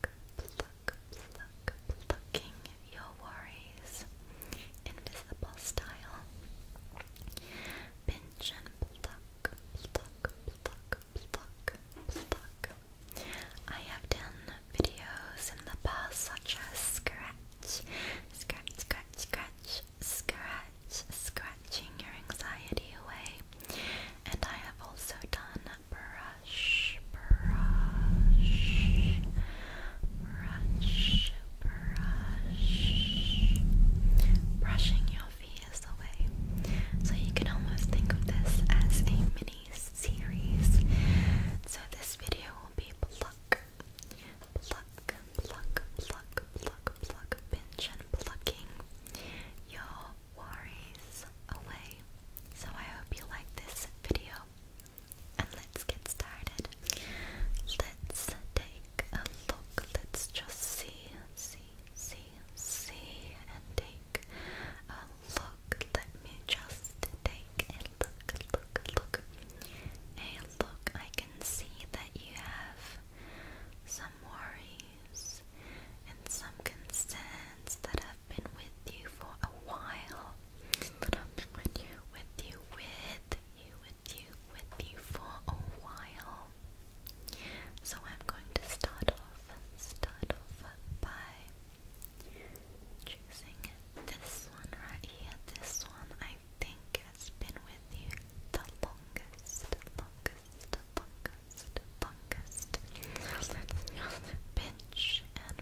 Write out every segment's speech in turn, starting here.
pluck, pluck, plucking your worries. Invisible style. Pinch and pluck, pluck, pluck, pluck, pluck. I have done videos in the past such as scratch, scratch, scratch, scratch, scratch, scratching your anxiety away. And I have also done brush, brush, brush, brush, brushing your fears away. So you can almost think of this as a mini series. So this video will be pluck, pluck, pluck, pluck, pluck, pluck, pinch and plucking your worries away. So I hope you like this video and let's get started. Let's take a look. Let's just see, see, see, see, and take a look. Let me just take a look, look, look. Hey, look, I can see that you have some worries and some concerns that have been with you for a while. But with you, with you, with you, with you, with you for a while. So I'm going to start off, start off by choosing this one right here. This one I think has been with you the longest, longest, longest, longest. Let's pinch and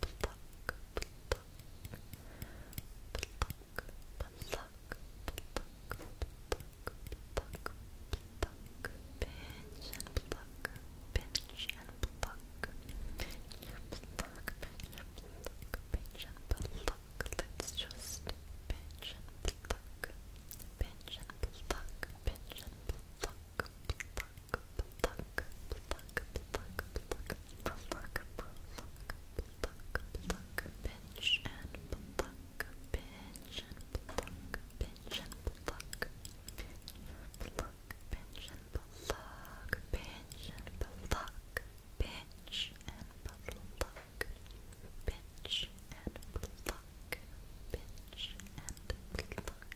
pluck, pluck, pluck. Pluck, pluck, pluck, pluck, pinch and pluck, pinch and pluck, pinch and pluck, pinch and pluck, pinch and pluck. Let's just pinch and pluck, pinch and pluck, pinch and pluck, pluck, pluck, pluck, pluck, pluck, pluck, pluck, pluck, pluck, pinch and pluck, pinch and pluck, pinch and pluck, pluck, pinch and pluck, pinch and pluck, pinch and pluck, pinch and pluck, pinch and pluck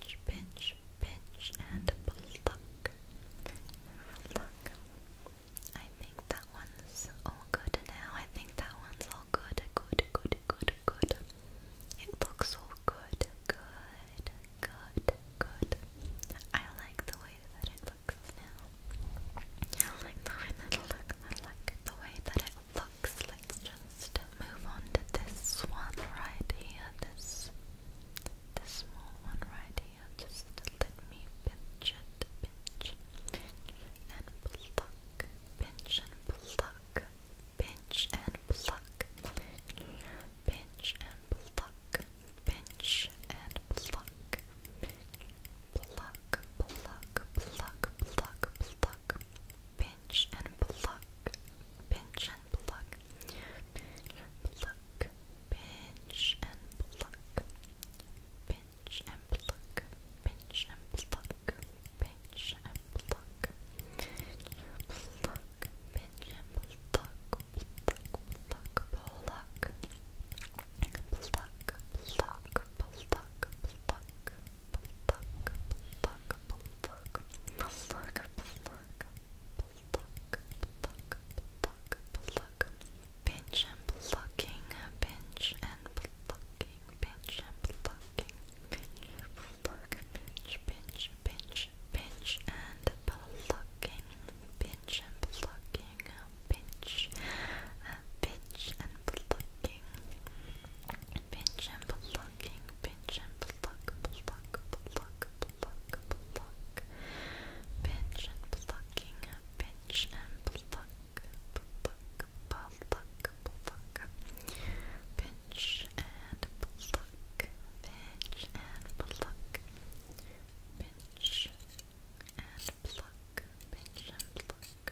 pinch, pinch, pinch, and pluck. Pluck. I think that one's all good now. I think that one's all good. Good, good, good, good. It looks all good. Good, good, good. I like the way that it looks now. I like the way that it looks. I like the way that it looks. Let's just move on to this one right here. This this small one right here. Just let me pinch it, pinch and pluck, pinch and pluck, pinch and pluck, pinch and pluck, pinch and pluck, pluck, pluck, pluck, pluck, pluck, pinch pinch and pluck, pinch and pluck, pinch and pluck, pinch and pluck, pinch and pluck, pinch and pluck, pinch and pluck, pluck, pinch and pluck, pluck, pluck, pluck, pluck, pluck, pluck, pluck pluck, pluck, pluck, pluck, pluck, pluck, pluck, pluck, pluck, pinch and plucking, pinch and plucking, pinch and plucking, pinch, pluck, pinch, pinch, pinch, pinch and plucking, pinch and plucking, pinch, pinch and plucking, pinch and plucking, pinch and pluck, pluck, pluck, pluck, pluck, pinch and plucking, pinch and pluck, pluck, pluck, pluck, pinch and pluck, pinch and pluck, pinch and pluck, pinch and pluck,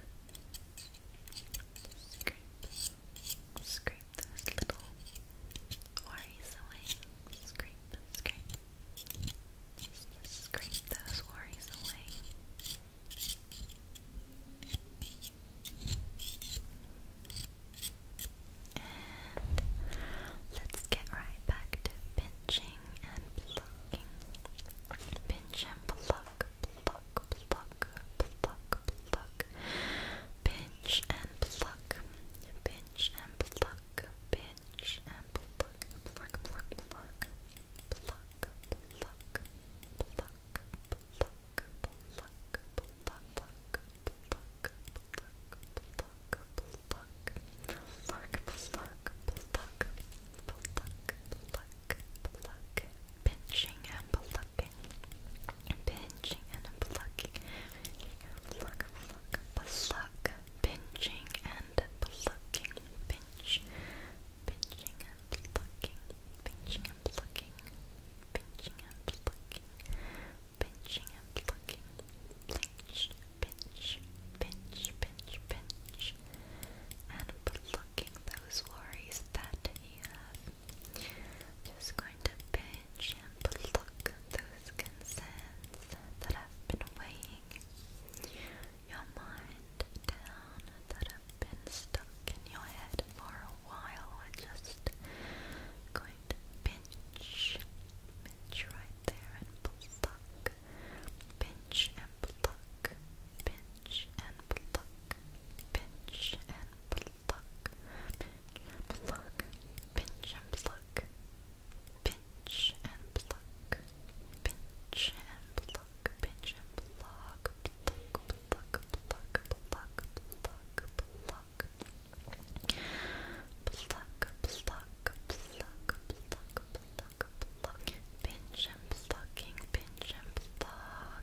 scrape, scrape those little worries away. Scrape, scrape. scrape those worries away. let's get right back to pinching and plucking. Pinch and pluck, pluck, pluck, pluck, pluck, pluck, pinch and pluck, pinch and pluck, pinch and pluck, pluck, pluck, pluck, pluck, pluck, pluck, pluck. Pluck, pluck, pluck, pluck, pluck, pluck, pluck, pluck, pluck, pluck, pluck, pluck, pinching and plucking, and pinching and plucking, pluck, pluck, pluck, pinching and plucking, pinch, pinching and plucking, pinching and plucking, pinching and plucking, pinching and plucking, pinch, pinch, pinch, pinch, pinch, and plucking those worries that you have. I'm just going to pinch and pluck those concerns that have been weighing your mind down, that have been stuck in your head for a while. We're just going to pinch, pinch right there and pluck, pinch and pluck, pinch and pluck, pinch and pluck pluck, pluck, pinch and pluck, pinch and pluck, pinch and pluck, pinch and pluck, pluck, pluck, pluck, pluck, pluck, pluck. Pluck, pluck, pluck, pluck, pluck, pluck. Pinch and plucking, pinch and pluck,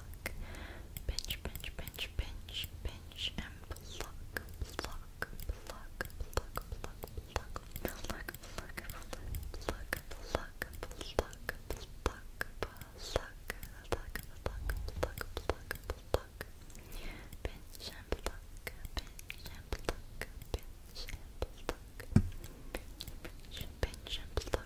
pluck. Pinch, pinch, pinch, pinch, pinch, and pluck, pluck, pluck, pluck, pluck, pluck, pluck, pluck, pluck, pluck, pluck, pluck. Pluck, pluck, pluck, pluck, pluck, pluck. Pinch and pluck, pinch and pluck, pinch and pluck. Pinch, pinch, pinch and pluck.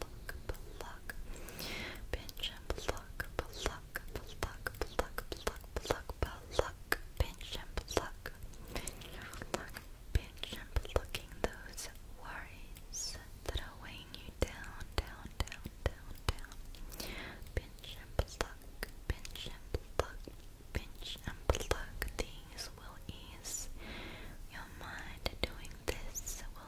pluck, pluck. Pinch and pluck, pluck, pluck, pluck, pluck, pluck, pluck. Pinch and pluck. Pinch and pluck. Pinch and plucking those worries that are weighing you down, down, down, down, down. Pinch and pluck, pinch and pluck, pinch and pluck. Things will ease your mind. Doing this will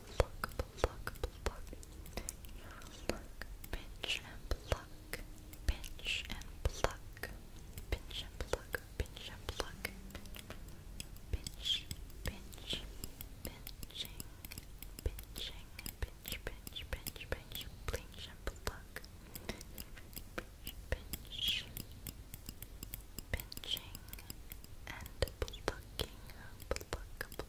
pluck, pluck, pluck. Pinch and pluck, pinch and pluck, pinch and pluck, pinch and pluck. Pinch, pinch, pinching, pinching, pinch, pinch, pinch, pinch, pinch and pluck. Pinch, pinching and plucking, pluck, pluck,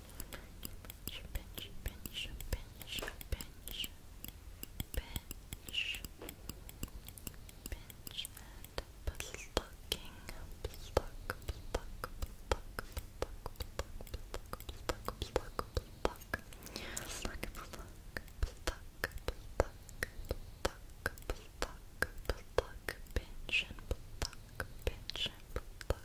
Pinch, pinch, pinch, pinch, pinch, pinch, pinch, and plucking, pluck, pluck, pluck, pluck, pluck, pluck, pluck, pluck, pluck, pluck. Pluck, pluck, pluck, pluck, pluck, pinch and pluck, pinch and pluck,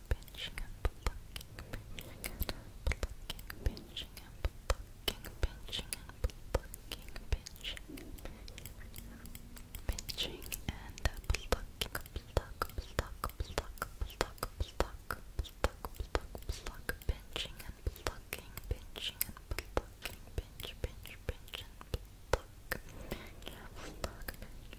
pinching and plucking, pinching and plucking, pinching and plucking, pinching and plucking, pinching, pinching and plucking, pluck, pluck, pluck, pluck, pluck, pluck, pluck, pluck, pinching and plucking, pinching and plucking, pinch, pinch, pinch and pluck, pinch, pluck, pinch.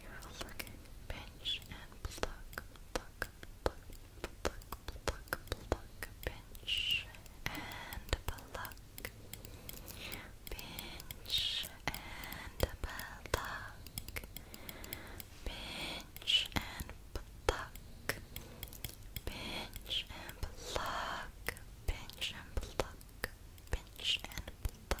your freaking pinch and pluck, pluck, pluck, pluck, pluck, pluck, pinch and pluck, pinch and pluck, pinch and pluck, pinch and pluck, pinch and pluck, pinch and pluck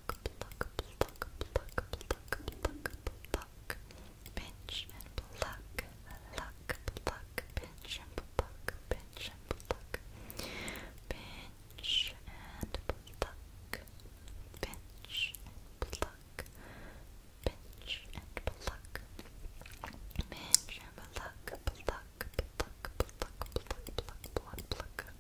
pluck, pluck, pluck, pluck, pluck, pinch and pluck, pluck, pluck, pinch and pluck, pinch and pluck, pinch and pluck, pinch and pluck, pluck, pluck, pluck, pluck, pluck, pluck, pluck, pluck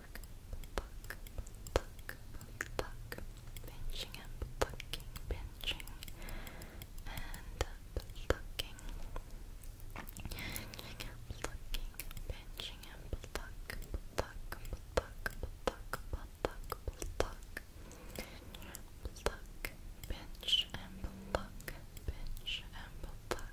pluck, pluck, pluck, pinching and plucking, pinching and plucking, pinching and plucking, pinching and pluck, pluck, pluck, pluck, pluck, pinch and pluck, pinch and pluck,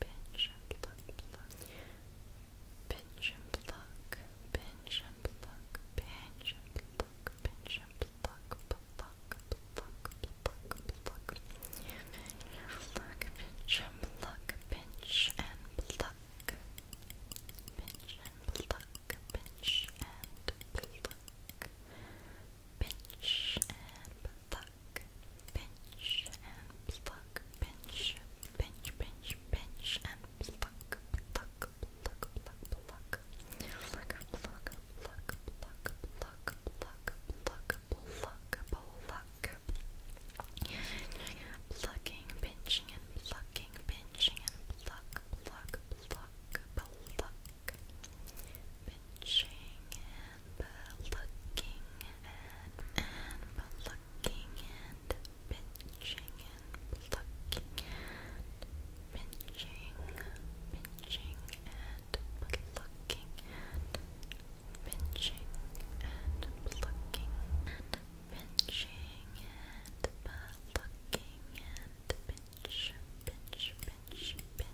pinch and pluck, pinch and pluck, pinch and pluck, pinch and pluck, pinch and pluck, pluck, pluck, pluck, pluck, pluck, pluck, pluck, pluck, pluck, pluck, pinch and pluck, pinch and pluck, pinch and pluck pinch and pluck, pinch and pluck, pinch, pinch, pinch, pinch and pluck, pluck, pluck, pluck, pluck, pluck, pluck, pluck, pluck, pluck, pluck, pluck, pluck, pluck. Plucking, pinching and plucking, pinching and pluck, pluck, pluck, pluck. Pinching and looking and and and pinching and plucking and pinching and plucking and pinching and plucking and pinching and plucking and pinch, pinch, pinch, pinch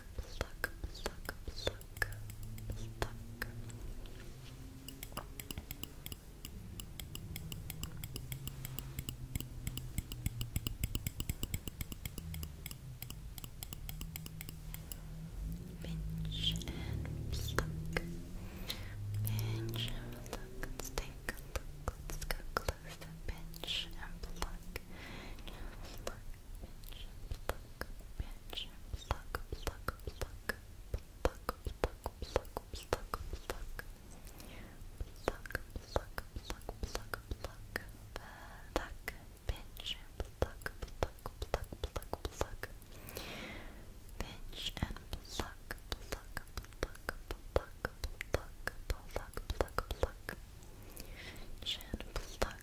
pluck, pluck, pluck, pluck, Pinch and pluck. Pinch and pluck. Let's take a look. let close the pinch and pluck. pluck. Pinch pluck bench, pluck, pluck, pluck, pluck, pluck, pluck, pluck, pluck. Pluck, pluck, pluck, pluck, pluck, pluck, pinch, pluck, pluck, pluck, pluck, pluck, pinch and pluck, pluck, pluck, pluck, pluck, pluck, pluck, pluck, chin, pluck,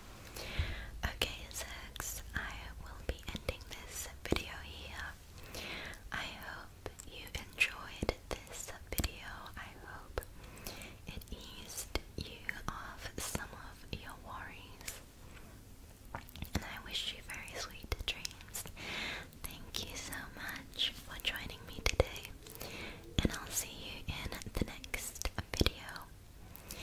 Okay, Zags, I will be ending this video here. I hope you enjoyed this video. I hope it eased you of some of your worries. And I wish you very sweet dreams. Thank you so much for joining me today, and I'll see you in the next video.